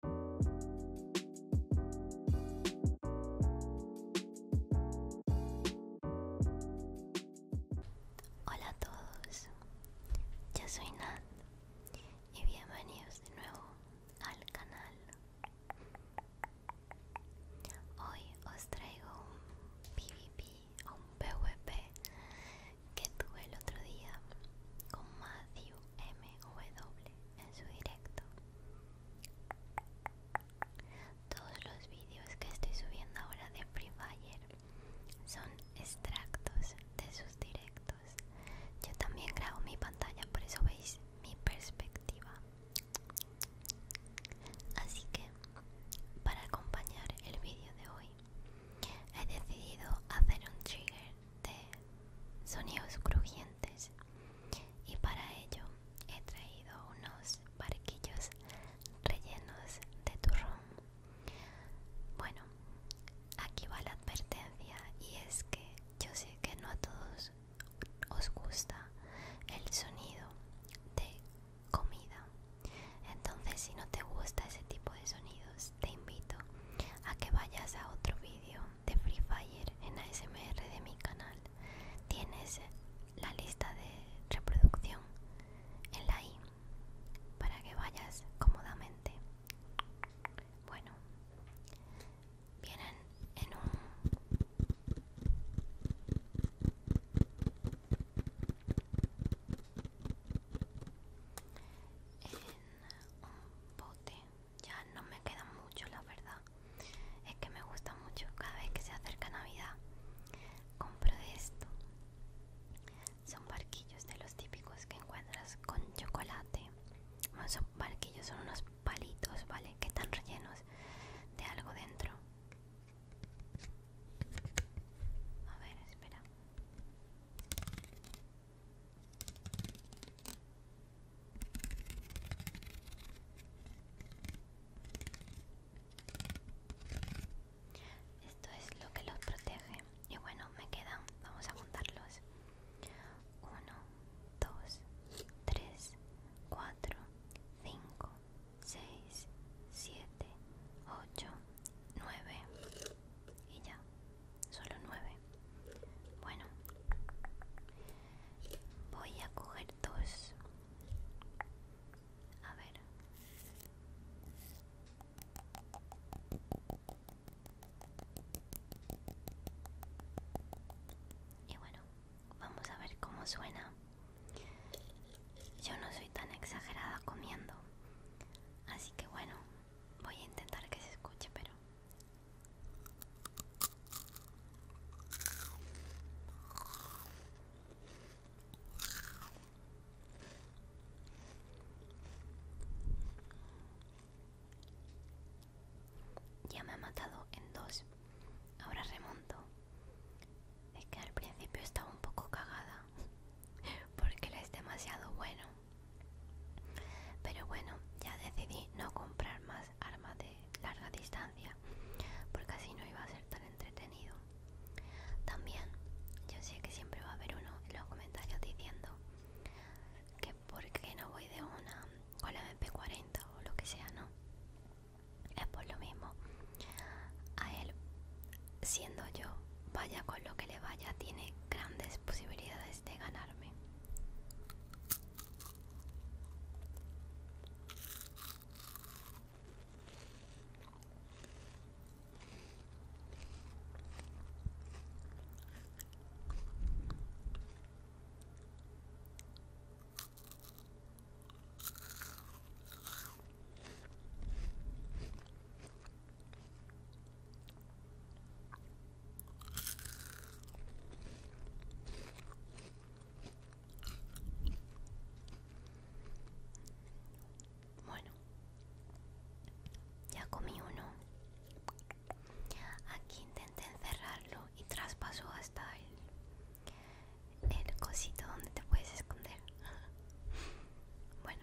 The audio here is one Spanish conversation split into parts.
Hola a todos, yo soy Nat y bienvenidos de nuevo al canal. Hoy os traigo un PvP o un PvP que tuve el otro día con Matthew MW en su directo. Todos los vídeos que estoy subiendo ahora de Free Fire son extractos de sus directos. Yo también grabo mi pantalla, por eso veis mi perspectiva. Así que, para acompañar el vídeo de hoy, he decidido hacer un trigger de sonidos crujientes y para ello he traído unos barquillos rellenos de turrón bueno aquí va la advertencia y es que yo sé que no a todos os gusta el sonido de comida entonces si no te gusta ese tipo de sonidos te invito a que vayas a otro vídeo de Free Fire en ASMR de mi canal tienes la lista de reproducción en la i para que vayas cómodamente. Bueno, vienen en un bote ya no me queda mucho la verdad es que me gusta mucho cada vez que se acerca navidad compro de esto son barquillos de los típicos que encuentras con chocolate son barquillos son unos palitos vale que están rellenos de algo dentro a ver espera esto es lo que los protege. Y bueno, me quedan, vamos a juntarlos. 1, 2, 3, 4, 5, 6, 7, 8, 9 y ya. Solo nueve. Bueno. Voy a coger dos. A ver. Y bueno, vamos a ver cómo suena. Yo no soy tan exagerada comiendo. Así que bueno, voy a intentar que se escuche, pero ya me ha matado en dos. Ahora remonto. Es que al principio estaba un poco cagada. Porque él es demasiado bueno. Pero bueno, ya decidí no comprar más armas de larga distancia, porque así no iba a ser tan entretenido. También, yo sé que siempre va a haber uno en los comentarios diciendo que por qué no voy de una con la MP40 o lo que sea, ¿no? Es por lo mismo. A él, siendo yo, vaya con lo que le vaya, tiene grandes posibilidades de ganarme. Bueno, ya comí uno. Aquí intenté encerrarlo y traspasó hasta el, el cosito donde te puedes esconder. bueno.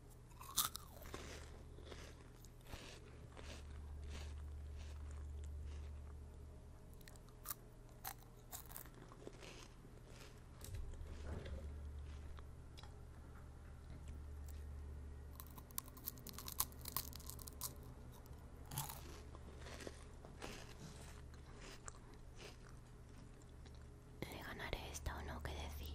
¿Le ganaré esta o no? ¿Qué decís?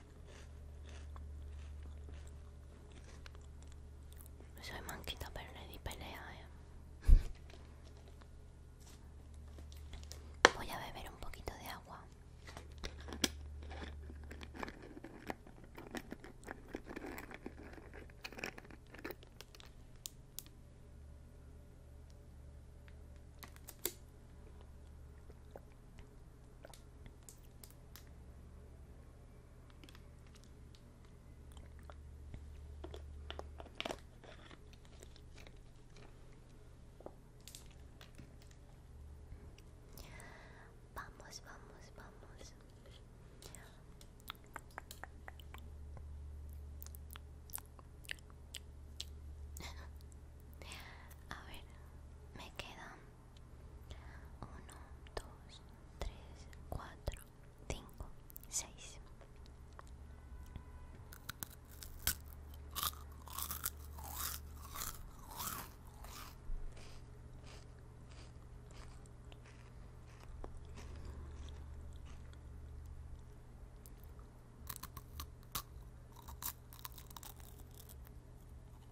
Soy manquita, pero le di pelea, eh. Voy a beber un poquito de agua. Vamos, vamos, vamos. A ver, me quedan 1, 2, 3, 4, 5, 6.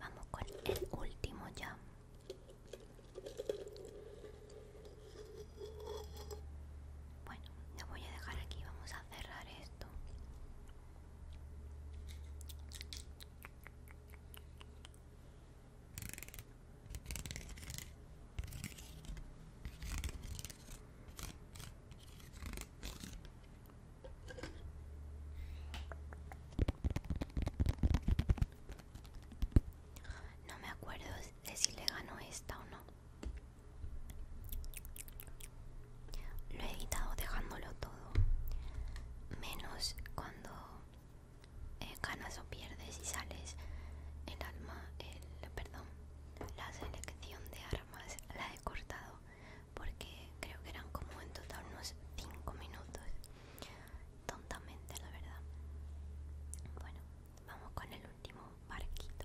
Vamos con el último ya. Bueno, lo voy a dejar aquí. Vamos a cerrar esto. No me acuerdo de si le ganó esta o no. Lo he editado dejándolo todo. Menos cuando eh, ganas o pierdes y sales el alma, el perdón la selección de armas la he cortado porque creo que eran como en total unos 5 minutos tontamente la verdad bueno vamos con el último barquito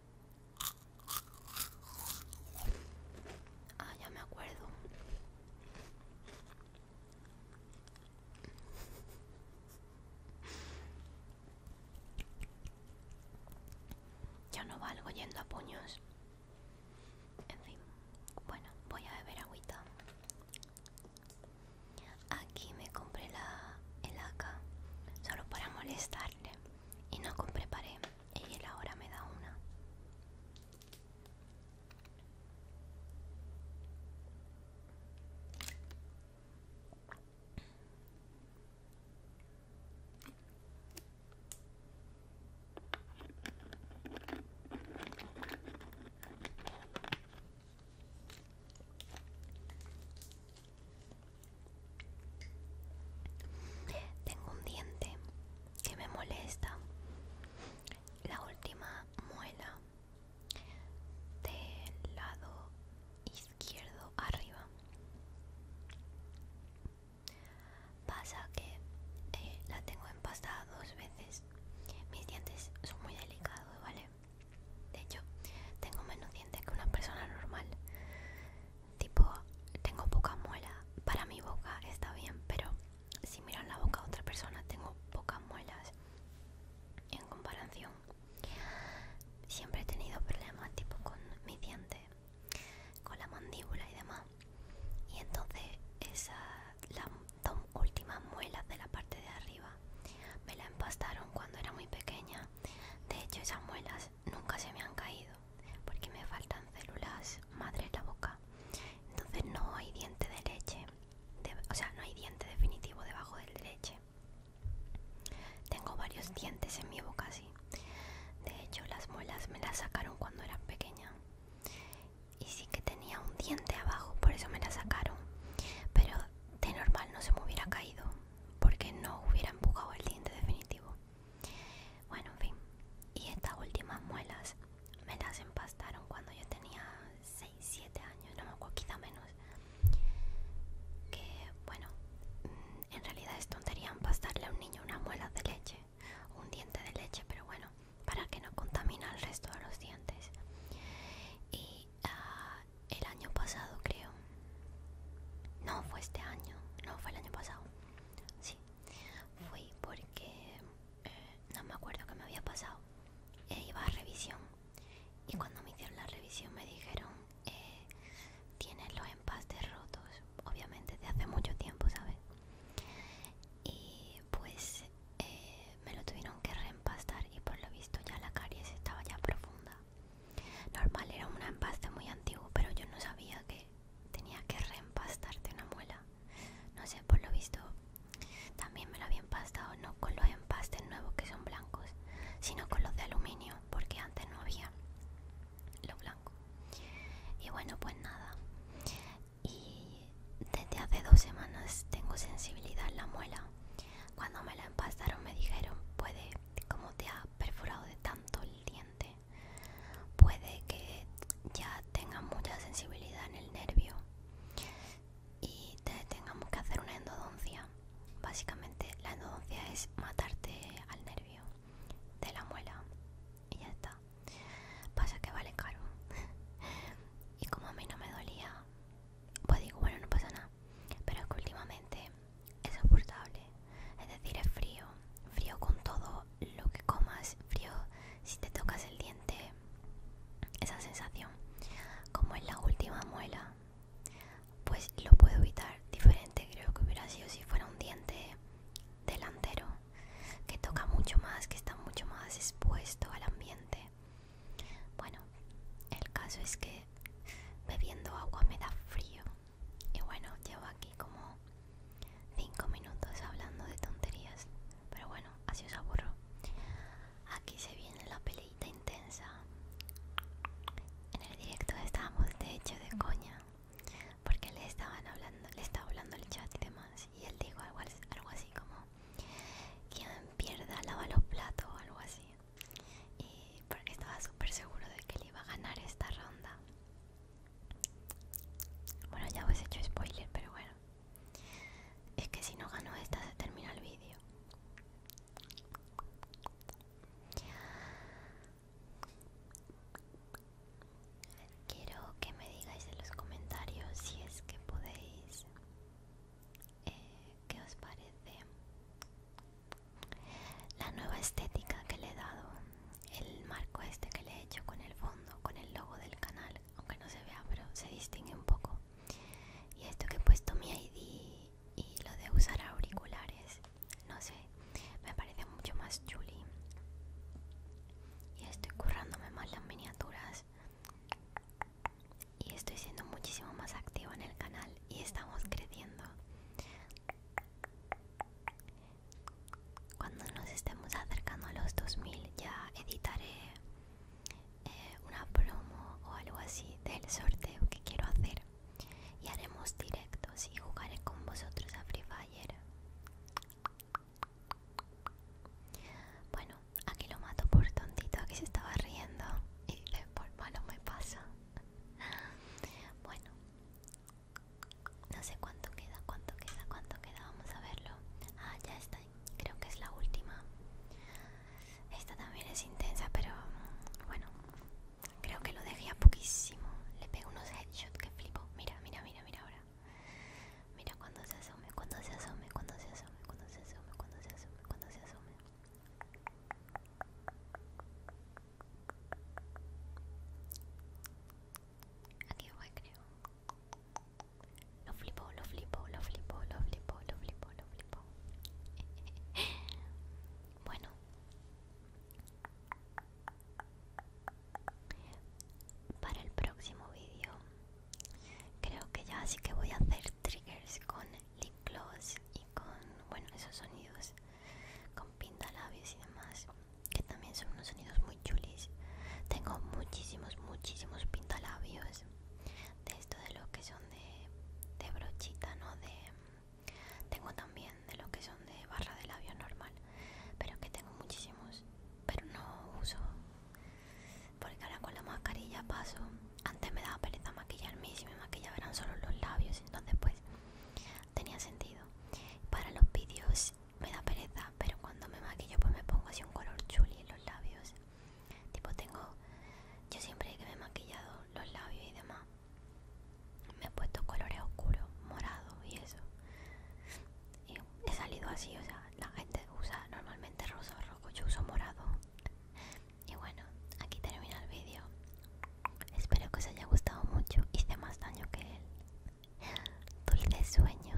Ah, ya me acuerdo. Ya no valgo yendo a puños. En fin, bueno, voy a beber agüita. Aquí me compré la el solo para molestarle y no compré pared y ahora me da una. Tengo un diente que me molesta. La última muela del lado izquierdo arriba. Pasa que eh, la tengo empastada dos veces. Mis dientes son muy delicados, ¿vale? De hecho, tengo menos dientes que una persona normal tipo tengo pocas muelas para mi boca está bien pero si miran la boca de otra persona tengo pocas muelas en comparación siempre he tenido problemas tipo con mi diente con la mandíbula y demás y entonces esas las dos últimas muelas de la parte de arriba me la empastaron cuando era muy pequeña de hecho esas muelas nunca se me han caído porque me faltan células madre en la boca entonces no hay diente de leche o sea no hay diente definitivo debajo del de leche tengo varios dientes en mi boca así de hecho las muelas me las sacaron cuando era pequeña y sí que tenía un diente abajo por eso me las sacaron pero de normal no se me hubiera caído porque no hubiera empujado el diente definitivo bueno, en fin. Y estas últimas muelas me las empastaron cuando yo tenía 6, 7 años, no me acuerdo, quizá menos. Que bueno, mm, en realidad es tontería empastarle a un niño una muela de leche, un diente de leche, pero bueno, para que no contamina el resto de los dientes. Y ah, el año pasado creo, no fue este año, no fue el año pasado Sí, fui porque eh, no me acuerdo qué me había pasado. Eh, iba a revisión y cuando me hicieron la revisión me dijeron, eh, tienes los empastes rotos, obviamente de hace mucho tiempo, ¿sabes? Y pues me lo tuvieron que reempastar y por lo visto ya la caries estaba ya profunda. Normal era un empaste muy antiguo, pero yo no sabía que tenía que reempastarte una muela. No sé, por lo visto también me lo había empastado, no con los empastes nuevos que son blancos, sino con los de aluminio, porque antes no había lo blanco. Y bueno, pues nada. Y desde hace dos semanas tengo sensibilidad en la muela. Cuando me la empastaron me dijeron, puede, como te ha perforado de tanto el diente, puede que ya tenga mucha sensibilidad en el nervio y tengamos que hacer una endodoncia. Básicamente la endodoncia es matarte al nervio de la muela y ya está. Pasa que vale caro. y como a mí no me dolía, pues digo, bueno, no pasa nada. Pero es que últimamente es soportable, es decir, es frío, frío con todo lo que comas, frío si te tocas el diente, esa sensación, como en la última muela, pues lo puedo evitar diferente, creo que hubiera sido si fuera un diente delantero, que toca mucho más, que está mucho más expuesto al ambiente. Bueno, el caso es que bebiendo agua me da frío. Y bueno, llevo aquí como 5 minutos hablando de tonterías. Pero bueno, así os aburro. Aquí se viene la peleita intensa. En el directo estábamos de hecho de coña. Porque le estaban hablando, le estaba hablando el chat y demás. Y él dijo algo, algo así como quien pierda lava los platos o algo así. Y porque estaba súper seguro de que le iba a ganar esta ronda. Bueno, ya os he hecho spoiler, pero bueno. Es que si no gano esta se termina el vídeo. Quiero que me digáis en los comentarios si es que podéis eh, qué os parece la nueva estética que le he dado, el marco este que le he hecho con el fondo, con el logo del canal, aunque no se vea, pero se distingue un poco. Y esto que he puesto mi ID y lo de usar auriculares, no sé, me parece mucho más chuli. Y estoy currándome más las miniaturas. Y estoy siendo muchísimo más activa en el canal y estamos creciendo cuando nos estemos acercando a los 2000 ya editaré eh, una promo o algo así del sorteo que quiero hacer y haremos directos y jugaré con vosotros a Free Fire bueno aquí lo mato por tontito aquí se estaba riendo y por malo me pasa bueno no sé cuánto queda, cuánto queda, cuánto queda. Vamos a verlo. Ah, ya está. Creo que es la última. Esta también es intensa, pero mm, bueno. Creo que lo dejé a poquísimo. Le pego unos headshots que flipo. Mira, mira, mira, mira ahora. Mira cuando se asume, cuando se asume, cuando se asume, cuando se asume, cuando se asume, cuando se asume. Aquí voy, creo. Lo flipo, lo flipo, lo flipo, lo flipo, lo flipo, lo flipo. bueno. Para el próximo vídeo creo que ya así que voy a hacer triggers con lip gloss y con bueno esos sonidos con pintalabios y demás que también son unos sonidos muy chulis tengo muchísimos muchísimos pintalabios de esto de lo que son de, brochita no de tengo también de lo que son de barra de labio normal pero que tengo muchísimos pero no uso porque ahora con la mascarilla paso antes me daba pereza maquillarme y me maquillaba eran solo los labios entonces pues tenía sentido para los vídeos me da pereza pero cuando me maquillo pues me pongo así un color chuli en los labios tipo tengo yo siempre que me he maquillado los labios y demás me he puesto colores oscuros morado y eso y he salido así o sea la gente usa normalmente rosa o rojo yo uso morado y bueno aquí termina el vídeo Espero que os haya gustado mucho. Hice más daño que él. Dulces sueños.